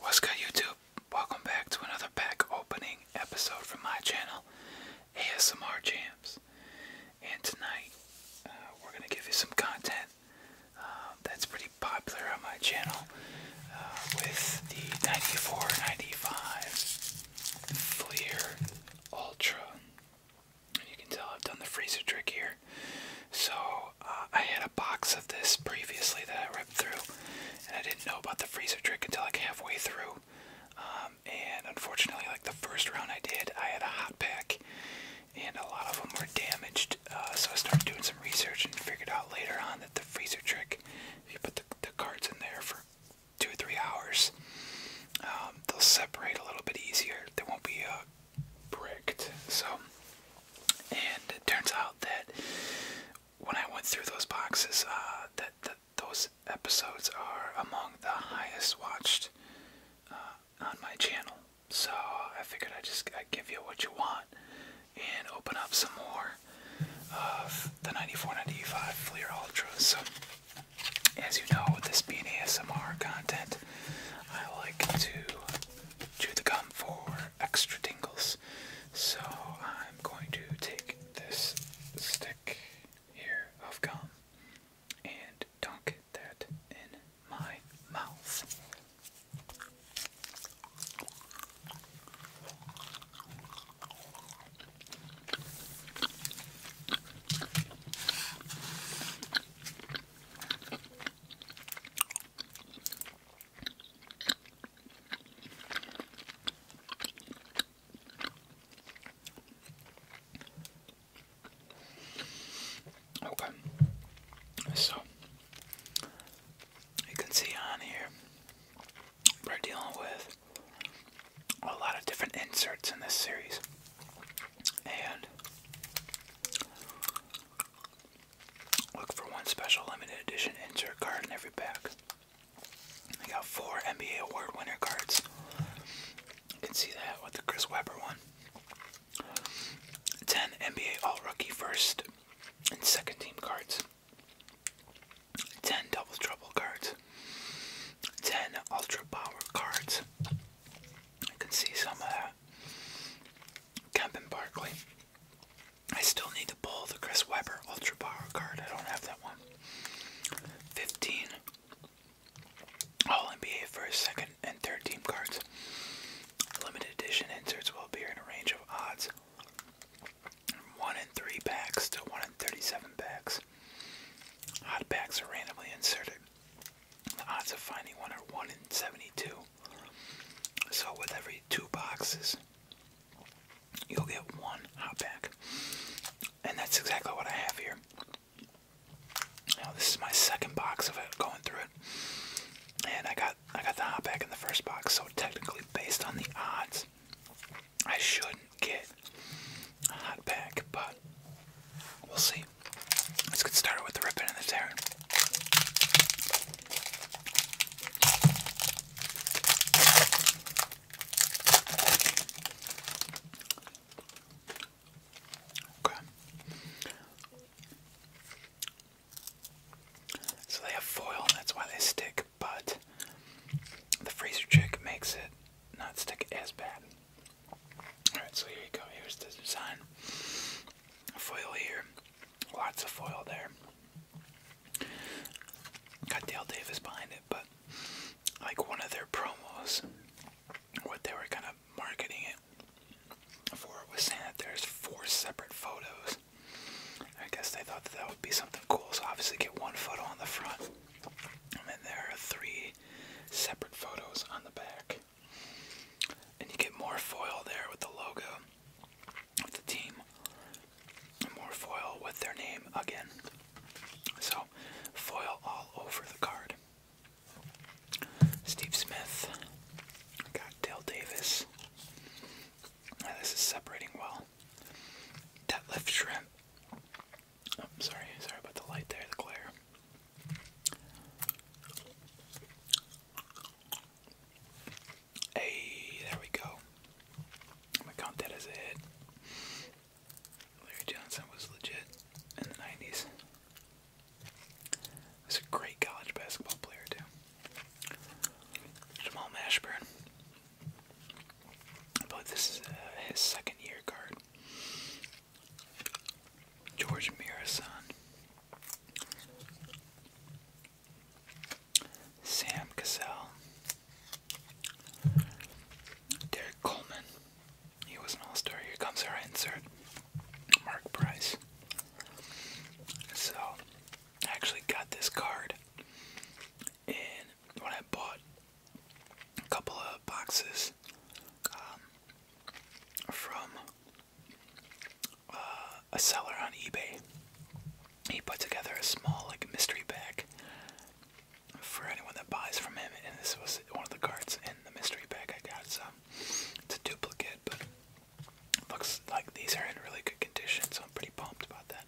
What's good YouTube? Welcome back to another pack opening episode from my channel, ASMR Jams. And tonight, uh, we're going to give you some content uh, that's pretty popular on my channel uh, with the 94 95 Fleer Ultra. You can tell I've done the freezer trick here. So uh, I had a box of this previously that I ripped through, and I didn't know about the freezer trick until like halfway through. Um, and unfortunately, like the first round I did, I had a hot pack, and a lot of them were damaged. Uh, so I started doing some research and figured out later on that the freezer trick, if you put the, cards in there for two or three hours, um, they'll separate a little bit easier. They won't be uh, bricked. So and it turns out that when I went through those boxes, uh, that, those episodes are among the highest watched uh, on my channel. So I figured I just i give you what you want and open up some more of the 9495 Fleer ultras. So as you know, with this being ASMR content, I like to chew the gum for extra tingles. So I'm going to take this stick here of gum and don't get that in my mouth. Okay, so you can see on here we're dealing with a lot of different inserts in this series, and Look for one special limited edition insert card in every pack. I got four NBA award winner cards. You can see that with the Chris Webber one. 10 NBA All Rookie first and second team cards. 10 Double Trouble cards. 10 Ultra Power cards. You can see some of that uh, Kempin Barkley. I still need to pull the Chris Webber Ultra Power card. I don't have that one. 15 All NBA first, second, and third team cards. Limited edition inserts will appear in a range of odds. 1 in 3 packs to 1 in 37 packs. Hot packs are randomly inserted. The odds of finding one are 1 in 72. So with every two boxes, you'll get one hot pack. And that's exactly what I have here. Now this is my second box of it going through it. And I got I got the hot pack in the first box, so technically based on the odds, I shouldn't get a hot pack, but we'll see. Let's get started with the ripping and the tearing. So they have foil, and that's why they stick, but the freezer trick makes it not stick as bad. Alright, so here you go. Here's the design. Foil here. Lots of foil there. Got Dale Davis behind it, but like one of their promos, what they were kind of marketing it for was saying that there's four separate photos. I guess they thought that, that would be something cool, so obviously get one photo on the front, and then there are three separate photos on the back. And you get more foil there with the logo of the team. And more foil with their name again. So, foil all over the card. Steve Smith. Got Dale Davis. Now this is separating well. Detlef Shrimp. Oh, sorry, sorry about the light there, the glare. Hey, there we go. I'm gonna a Larry Johnson was legit in the 90s. Was a great college basketball player, too. Jamal Mashburn. I believe this is uh, his second year card. George Mirasan. Sam Cassell, Derek Coleman, he was an all star. Here comes our insert, Mark Price. So, I actually got this card and when I bought a couple of boxes um, from a seller on eBay. He put together a small like mystery bag for anyone that buys from him, and this was one of the cards in the mystery bag I got. So it's a duplicate, but looks like these are in really good condition, so I'm pretty pumped about that.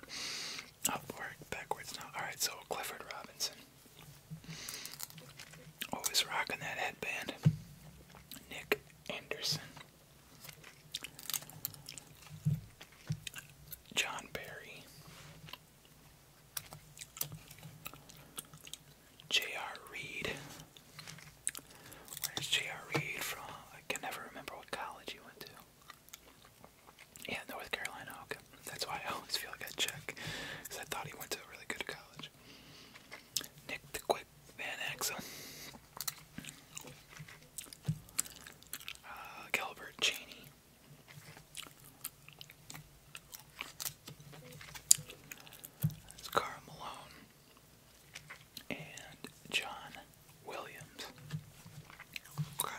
Upward, backwards now. All right, so Clifford Robinson. Always rocking that headband. Nick Anderson. John Barry. J.R. Reed. Where's J.R. Reed from? I can never remember what college he went to. Yeah, North Carolina. Okay. That's why I always feel like I check. I thought he went to a really good college. Nick the like Van Axel. Uh, Calvert Cheney. That's Carl Malone. And John Williams. Okay.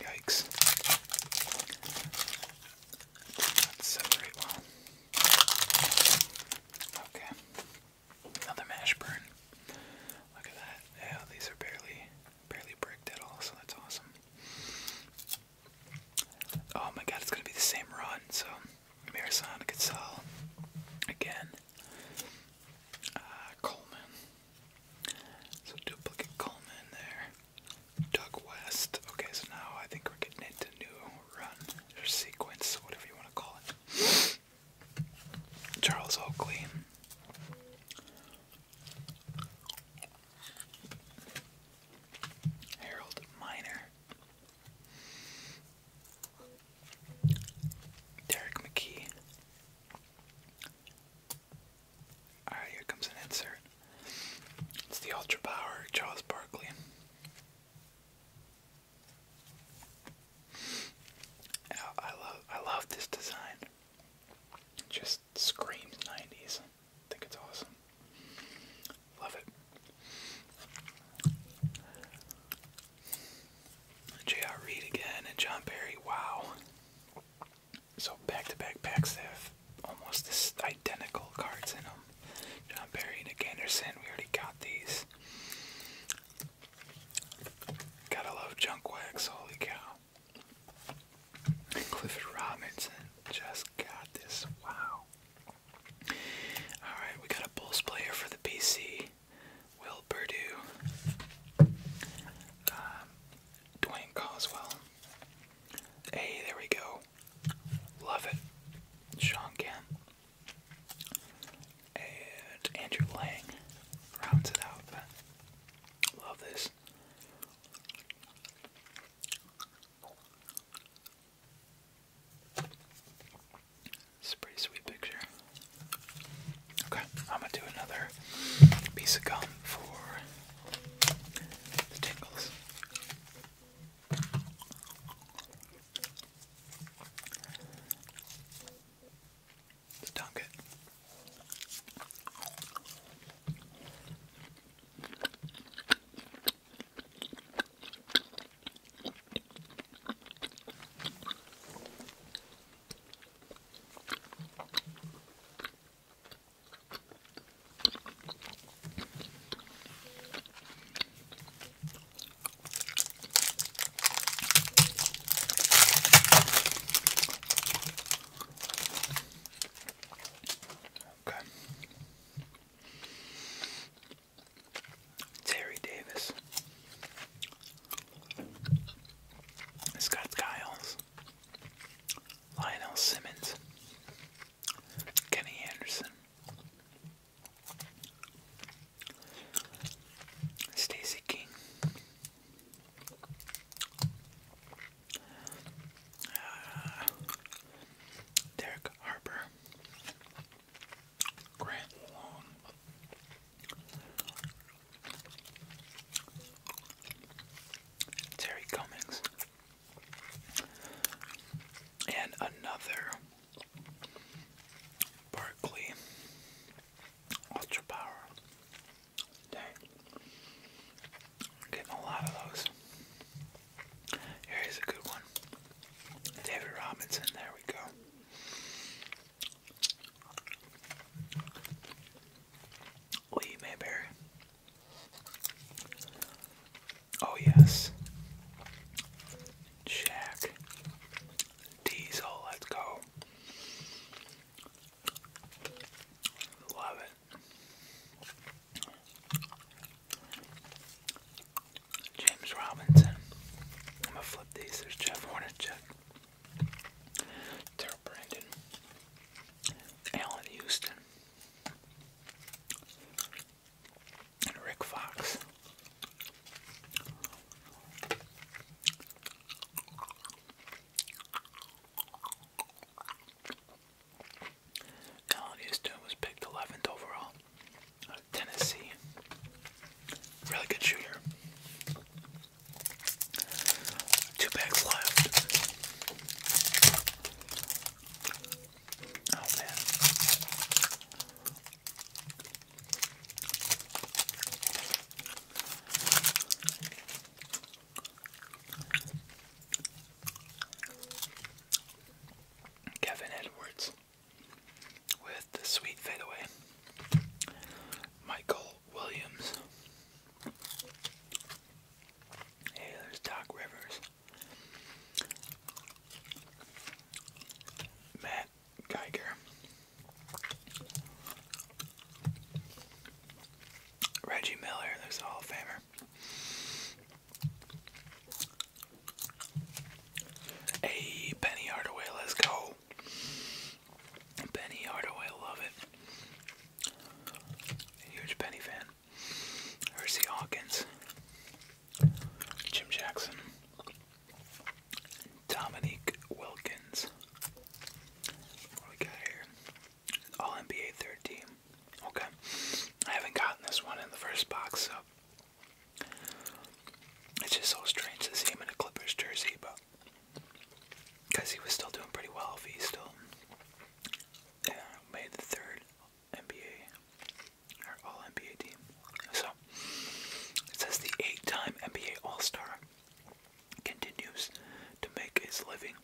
Yikes. Not separate well. Okay. Another mash Look at that. Yeah, these are barely barely bricked at all, so that's awesome. Oh my god, it's gonna be the same run, so Mirasana Gasol again. Uh, Coleman. So duplicate Coleman there. Doug West. Okay, so now I think we're getting into new run sequence, whatever you want to call it. Charles Oakley. Harold Miner. Derek McKee. Alright, here comes an insert. It's the Ultra Power Charles Barkley. I love I love this design. just screams 90s. I think it's awesome. Love it. J.R. Reed again and John Barry. Wow. So back-to-back -back packs have almost identical cards in them. John Barry, Nick Anderson. We already got these. Gotta love junk wax. Holy cow! Clifford Robinson just got this. Wow. All right, we got a Bulls player for the PC. Will Purdue, um, Dwayne Coswell. Hey, there we go. Love it. Sean Kemp. And Andrew Lang rounds it out. love this. It's sweet picture. Okay, I'm gonna do another piece of gum for the tingles. dunk it. Okay. Terry Davis. Scott Giles, Lionel Simmons, Kenny Anderson, Stacy King, uh, Derek Harper, Grant Long, Terry Cummings. And another Barkley Ultra Power. getting a lot of those. Here's a good one. David Robinson, there we go. Will you Oh yes. Shaq. Diesel, let's go. Love it. James Robinson. I'm gonna flip these. There's Jeff Hornacek. Terrell Brandon, Allen Houston, and Rick Fox. Allen Houston was picked 11th overall out of Tennessee. Really good shooter. Two bags left. Oh man. Kevin Edwards with the sweet fadeaway. Michael Williams. Hey, there's Doc Rivers. Matt Geiger. Reggie Miller, there's a Hall of Famer. Hey, Penny Hardaway, let's go. Penny Hardaway, love it. Huge Penny fan. Hersey Hawkins, Jim Jackson, Dominique Wilkins. All NBA third Okay. I haven't gotten this one in the first box, so it's just so strange to see him in a Clippers jersey, but because he was still doing pretty well he still made the third NBA or all NBA team. So it says the eight time NBA All Star continues to make his living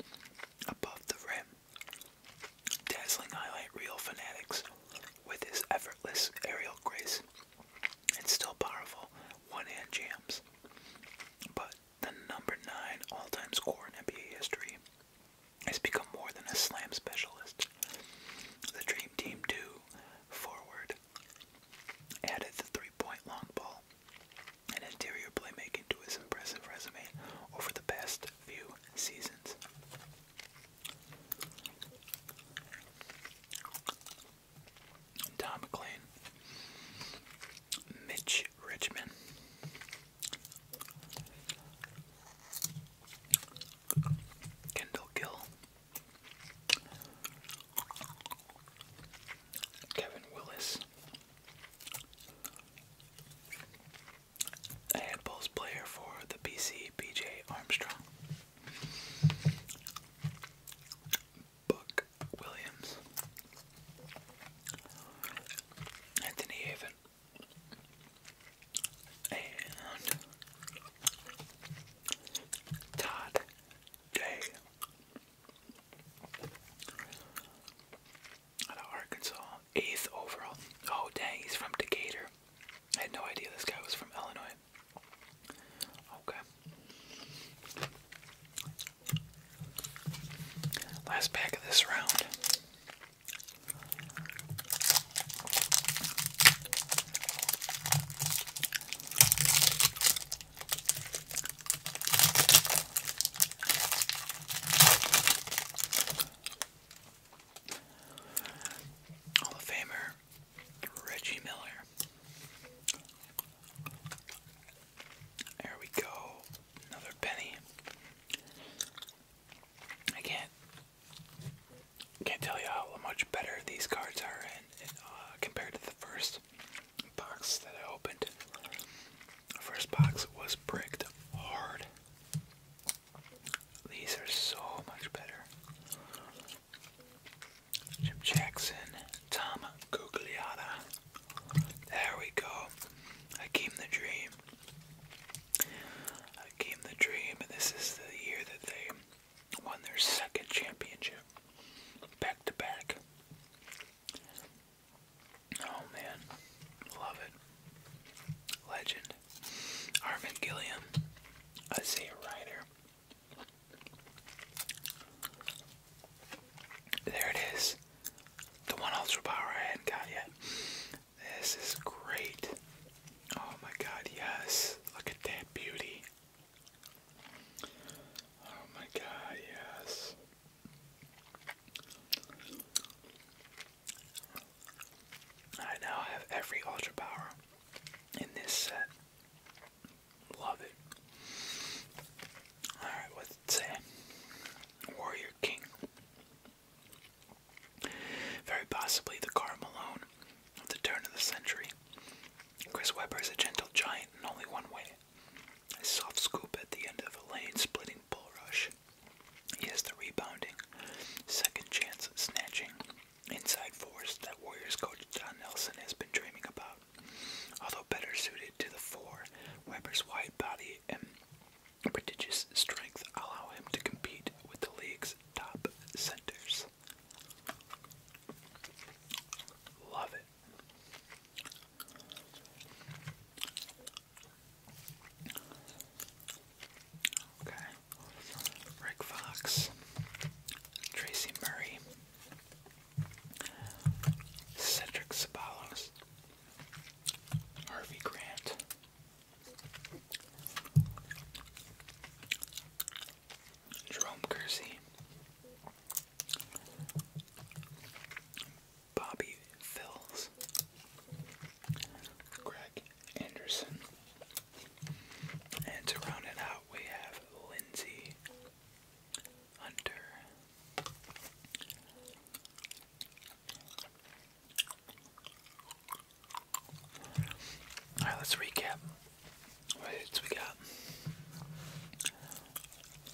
above the rim. Dazzling highlight reel fanatics with his effortless aerial grace and still powerful one hand jams. But the number nine all-time scorer in NBA history has become more than a slam specialist. The Dream Team 2 forward added the three-point long ball and interior playmaking to his impressive resume over the past few seasons. Tom McLean, Mitch Richmond, Kendall Gill, Kevin Willis, a handballs player for the BC BJ Armstrong. Buck Williams, Anthony Haven, and Todd Day out of Arkansas, eighth overall. Oh dang, he's from Decatur. I had no idea this guy was from Illinois. Okay. Last pack of this round. Hall of Famer Reggie Miller. There we go. Another penny. I can't can't tell you how much better these cards are uh, compared to the first box that I opened. first box was bricked hard. These are so much better. Jim Jackson, Tom Gugliotta. There we go. Hakeem the Dream. Hakeem the Dream. This is the year that they won their second championship. Back to back. Oh man. Love it. Legend. Armin Gilliam. I say a writer. There it is. The one ultra power I hadn't got yet. This is great. Oh my god, yes. Look at that beauty. Oh my god, yes. I now have every ultra power in this set. Love it. Alright, what's it say? Warrior King. Very possibly the Car Malone of the turn of the century. Chris Webber is a gentle giant in only one way. A soft scoop at the end of a lane splitting bull rush. He has the rebounding, second chance snatching, inside force that Warriors coach John Nelson has been dreaming about. Although better suited to the four, Weber's wide body and prodigious strength allow him to compete with the league's top centers. Love it. Okay. Rick Fox, Tracy Murray, Cedric Sabalos, Harvey Grant, Jerome Kersey, Bobby Phils, Greg Anderson, and to round it out, we have Lindsay Hunter. Alright, let's recap. What hits we got?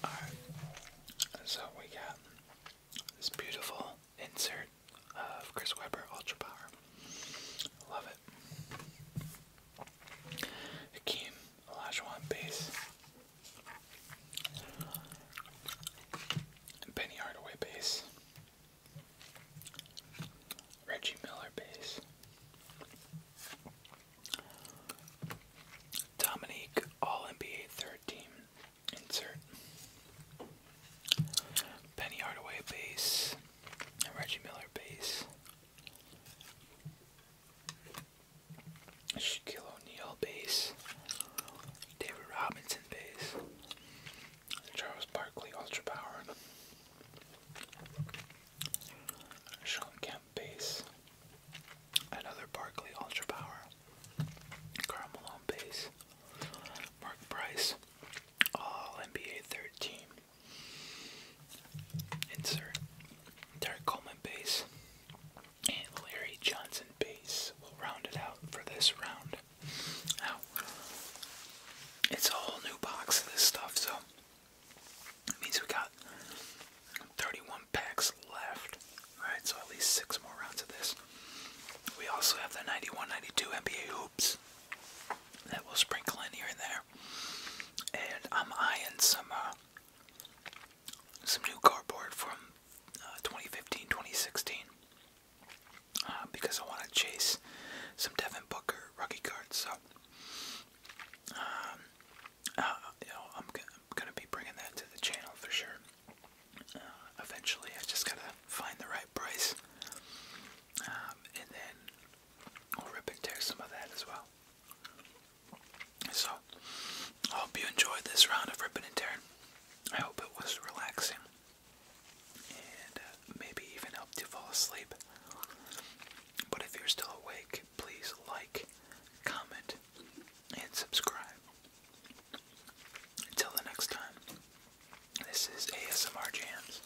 Alright, so we got this beautiful insert of Chris Webber Ultra Power. Love Hakeem Olajuwon base. Penny Hardaway base. Reggie Miller base. Dominique All NBA third team insert. Penny Hardaway base. Reggie Miller base. Shaquille O'Neal base, David Robinson base, Charles Barkley ultra power, Sean Kemp base, another Barkley ultra power, Carl Malone base, Mark Price, All NBA third team. Insert Derek Coleman and Larry Johnson bass. will round it out for this round. Now, it's a whole new box of this stuff, so it means we got 31 packs left. Alright, so at least six more rounds of this. We also have the 91 92 NBA hoops that we'll sprinkle in here and there. And I'm eyeing some uh, some new cardboard from uh, 2015, 2016 uh, because I want to chase some Devin Booker rookie cards. So, um, uh, you know, I'm, gonna be bringing that to the channel for sure. Uh, eventually, I just gotta find the right price, um, and then I'll rip and tear some of that as well. So, I hope you enjoyed this round of ripping and tearing. I hope it was relaxing and uh, maybe even helped you fall asleep. But if you're still awake, please like, comment, and subscribe. Until the next time, this is ASMR Jams.